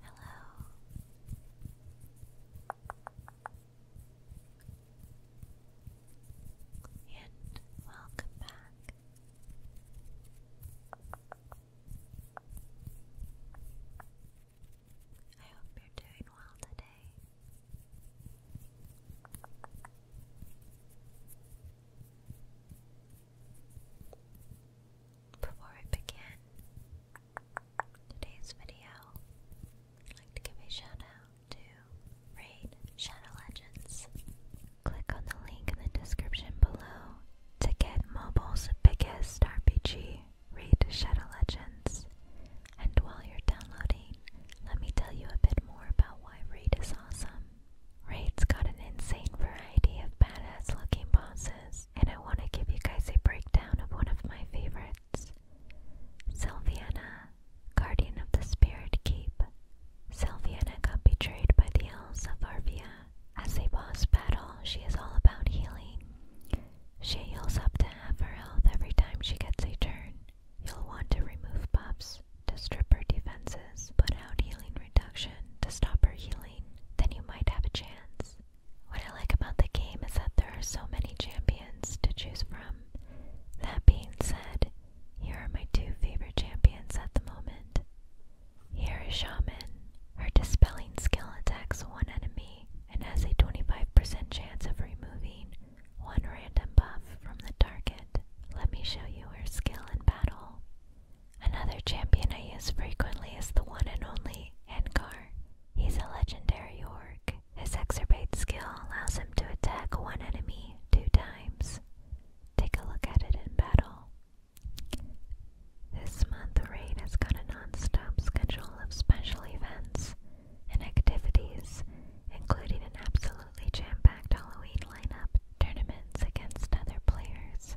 Hello. And welcome back. I hope you're doing well today. Before we begin today's video, I'd like to give a shout to Raid Shadow Legends. Click on the link in the description below to get mobile's biggest RPG, Raid Shadow Legends. And while you're downloading, let me tell you a bit more about why Raid is awesome. Raid's got an insane variety of badass looking bosses and I want to give you guys a breakdown of one of my favorites Sylviana, Guardian of the Spirit Keep. Sylviana got betrayed by the elves of Arvia. As a boss battle, she is all about healing. She heals up to half her health every time she gets a turn. You'll want to remove buffs to strip her defenses classes out healing reduction to stop her healing, then you might have a chance. What I like about the game is that there are so many champions to choose from. That being said, here are my two favorite champions at the moment. Here is Shaman. Her dispelling skill attacks one enemy and has a 25% chance of removing one random buff from the target. Let me show you her skill in battle. Another champion I use frequently is the one and only Ankar. He's a legendary orc. His Exacerbate skill allows him to attack one enemy two times. Take a look at it in battle. This month, Raid has got a non schedule of special events and activities, including an absolutely jam-packed Halloween lineup, tournaments against other players,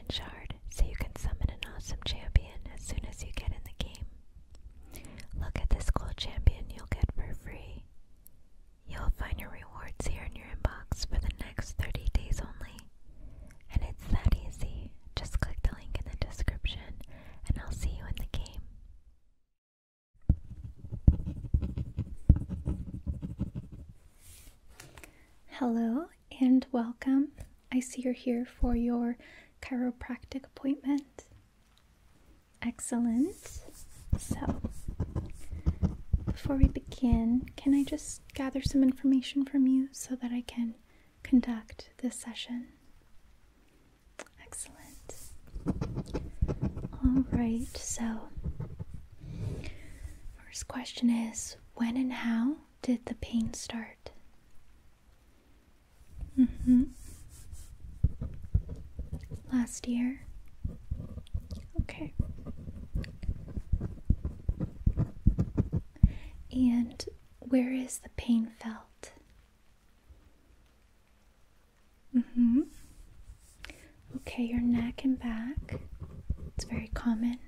so you can summon an awesome champion as soon as you get in the game. Look at this cool champion you'll get for free. You'll find your rewards here in your inbox for the next 30 days only. And it's that easy. Just click the link in the description and I'll see you in the game. Hello, and welcome. I see you're here for your chiropractic appointment. Excellent. So, before we begin, can I just gather some information from you so that I can conduct this session? Excellent. All right, so first question is when and how did the pain start? Mm hmm. Last year? Okay. And where is the pain felt? Mm hmm. Okay, your neck and back. It's very common.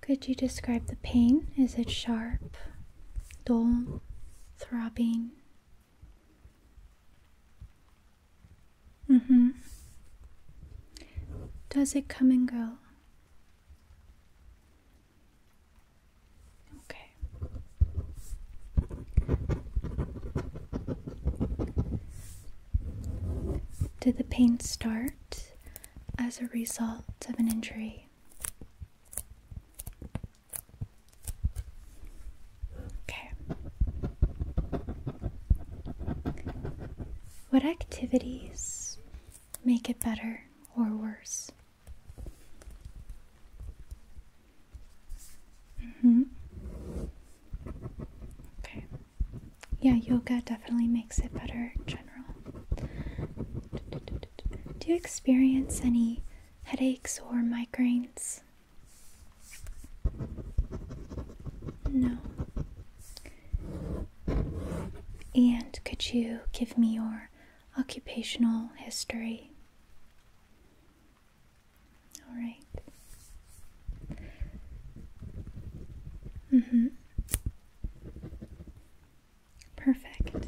Could you describe the pain? Is it sharp, dull, throbbing? Mm hmm. Does it come and go? Okay. Did the pain start as a result of an injury? Okay. What activities make it better or worse? Mm-hmm. Okay. Yeah, yoga definitely makes it better in general. Do you experience any headaches or migraines? No. And could you give me your occupational history? All right. Mm-hmm. Perfect.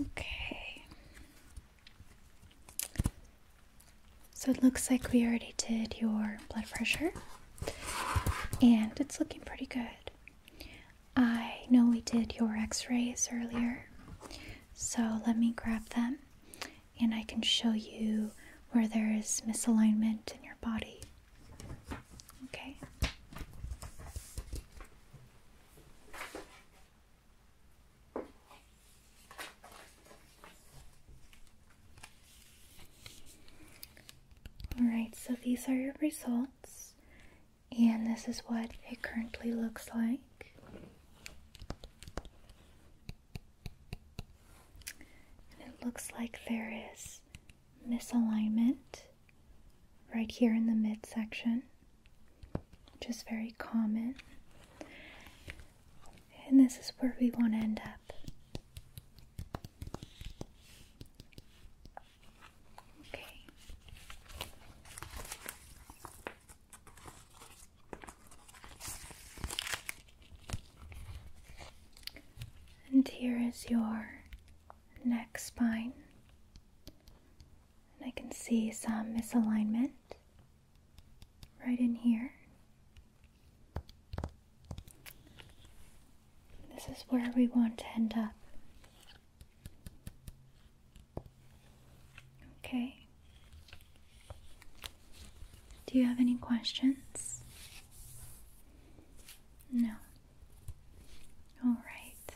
Okay. So it looks like we already did your blood pressure, and it's looking pretty good. I know we did your x rays earlier, so let me grab them and I can show you where there is misalignment in your body. Okay. Alright, so these are your results and this is what it currently looks like it looks like there is misalignment right here in the midsection which is very common and this is where we want to end up Okay. And here is your neck spine. And I can see some misalignment right in here. This is where we want to end up. Okay. Do you have any questions? No. All right.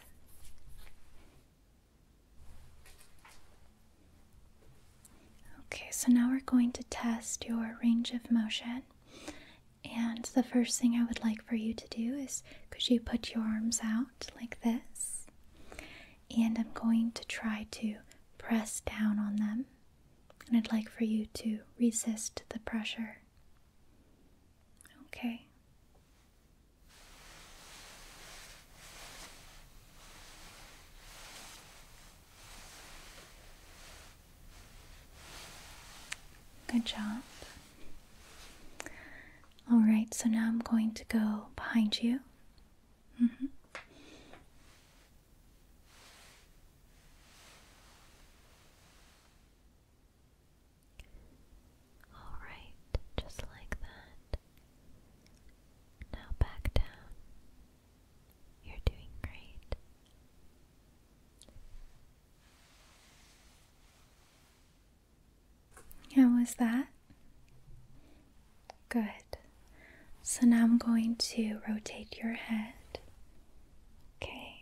Okay, so now we're going to test your range of motion and the first thing I would like for you to do is could you put your arms out like this? And I'm going to try to press down on them. And I'd like for you to resist the pressure. Okay. Good job. All right, so now I'm going to go behind you. Mm-hmm. All right, just like that. Now back down. You're doing great. How was that? Good. So now I'm going to rotate your head. Okay.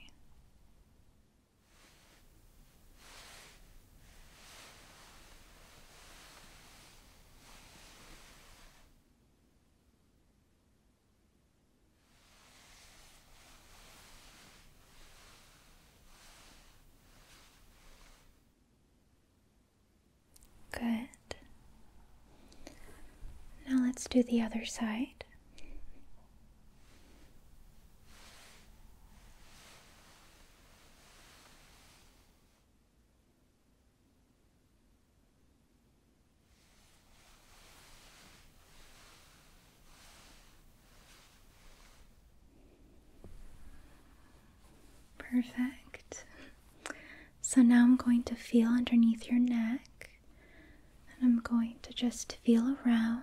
Good. Now let's do the other side. Perfect. So now I'm going to feel underneath your neck and I'm going to just feel around.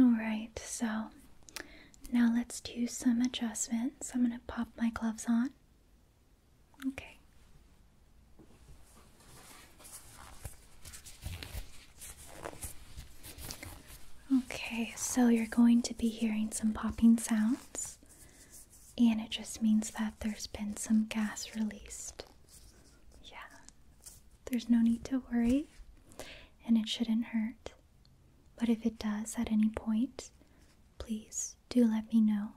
All right, so now let's do some adjustments. I'm going to pop my gloves on. Okay. Okay, so you're going to be hearing some popping sounds, and it just means that there's been some gas released. Yeah, there's no need to worry, and it shouldn't hurt. But if it does at any point, please do let me know.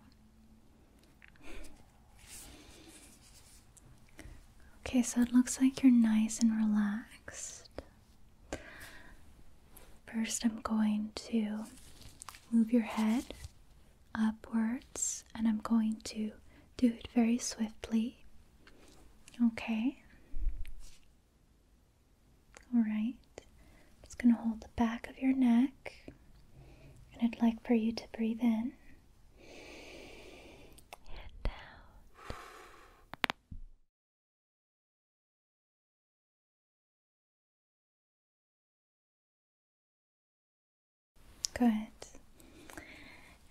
Okay, so it looks like you're nice and relaxed. First, I'm going to move your head upwards and I'm going to do it very swiftly. Okay. All It's going to hold the back of your neck and I'd like for you to breathe in and out. Good.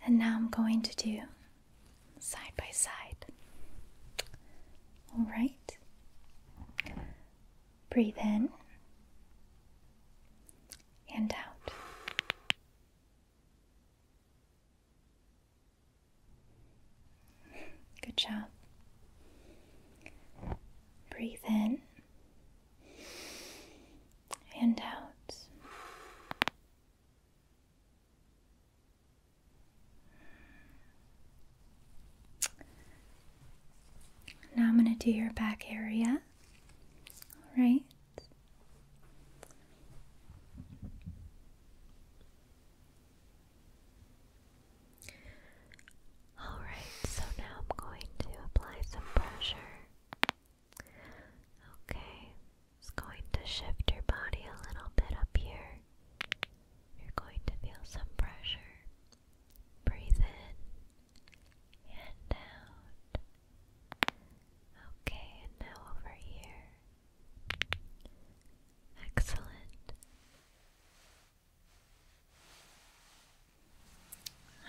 And now I'm going to do side by side. All right. Breathe in and out. Good job. Breathe in and out. Now I'm going to do your back area. All right. Alright, so now I'm going to apply some pressure. Okay, it's going to shift your body a little bit up here. You're going to feel some pressure. Breathe in and out. Okay, and now over here. Excellent.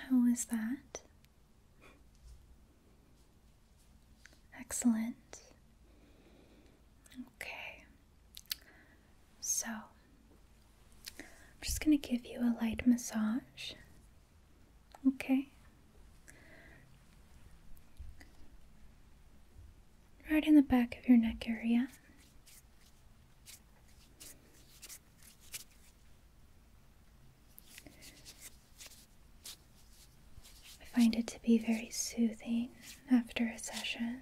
How was that? Excellent. Okay. So, I'm just going to give you a light massage Okay. Right in the back of your neck area. I find it to be very soothing after a session.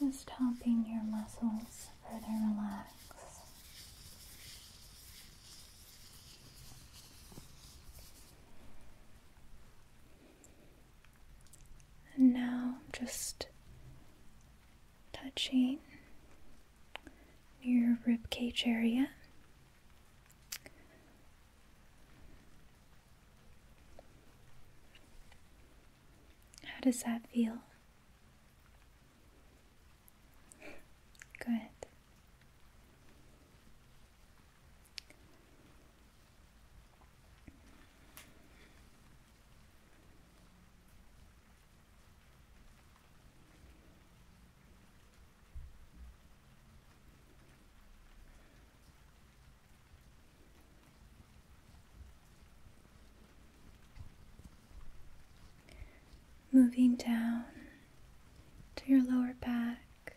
Just helping your muscles further relax. And now just touching near your rib cage area. How does that feel? Good. Moving down to your lower back,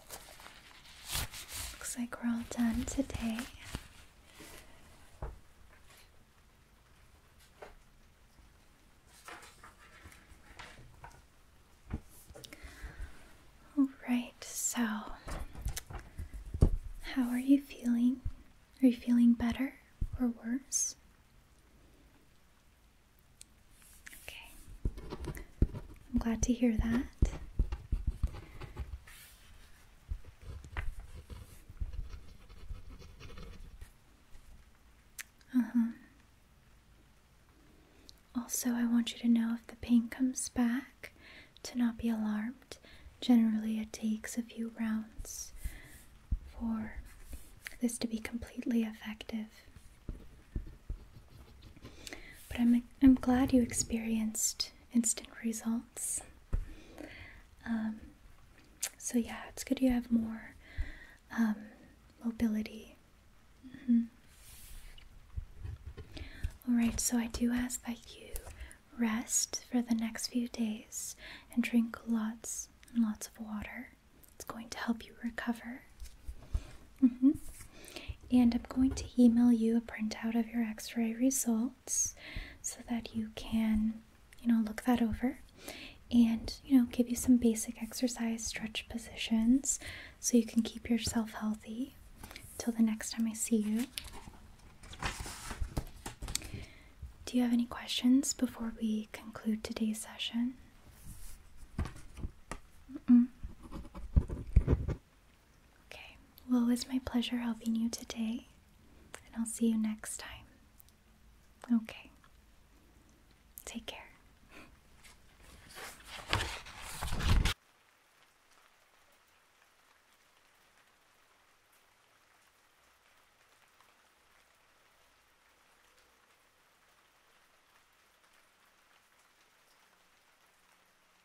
Looks like we're all done today. Alright, so how are you feeling? Are you feeling better or worse? Okay, I'm glad to hear that. Uh huh. Also, I want you to know if the pain comes back to not be alarmed. Generally, it takes a few rounds for this to be completely effective. But I'm, I'm glad you experienced instant results. Um, so, yeah, it's good you have more um, mobility. Mm-hmm. Alright, so I do ask that you rest for the next few days and drink lots and lots of water. It's going to help you recover. Mm -hmm. And I'm going to email you a printout of your x-ray results so that you can, you know, look that over and, you know, give you some basic exercise stretch positions so you can keep yourself healthy till the next time I see you. Do you have any questions before we conclude today's session? Mm -mm. Okay, well, it was my pleasure helping you today, and I'll see you next time. Okay, take care.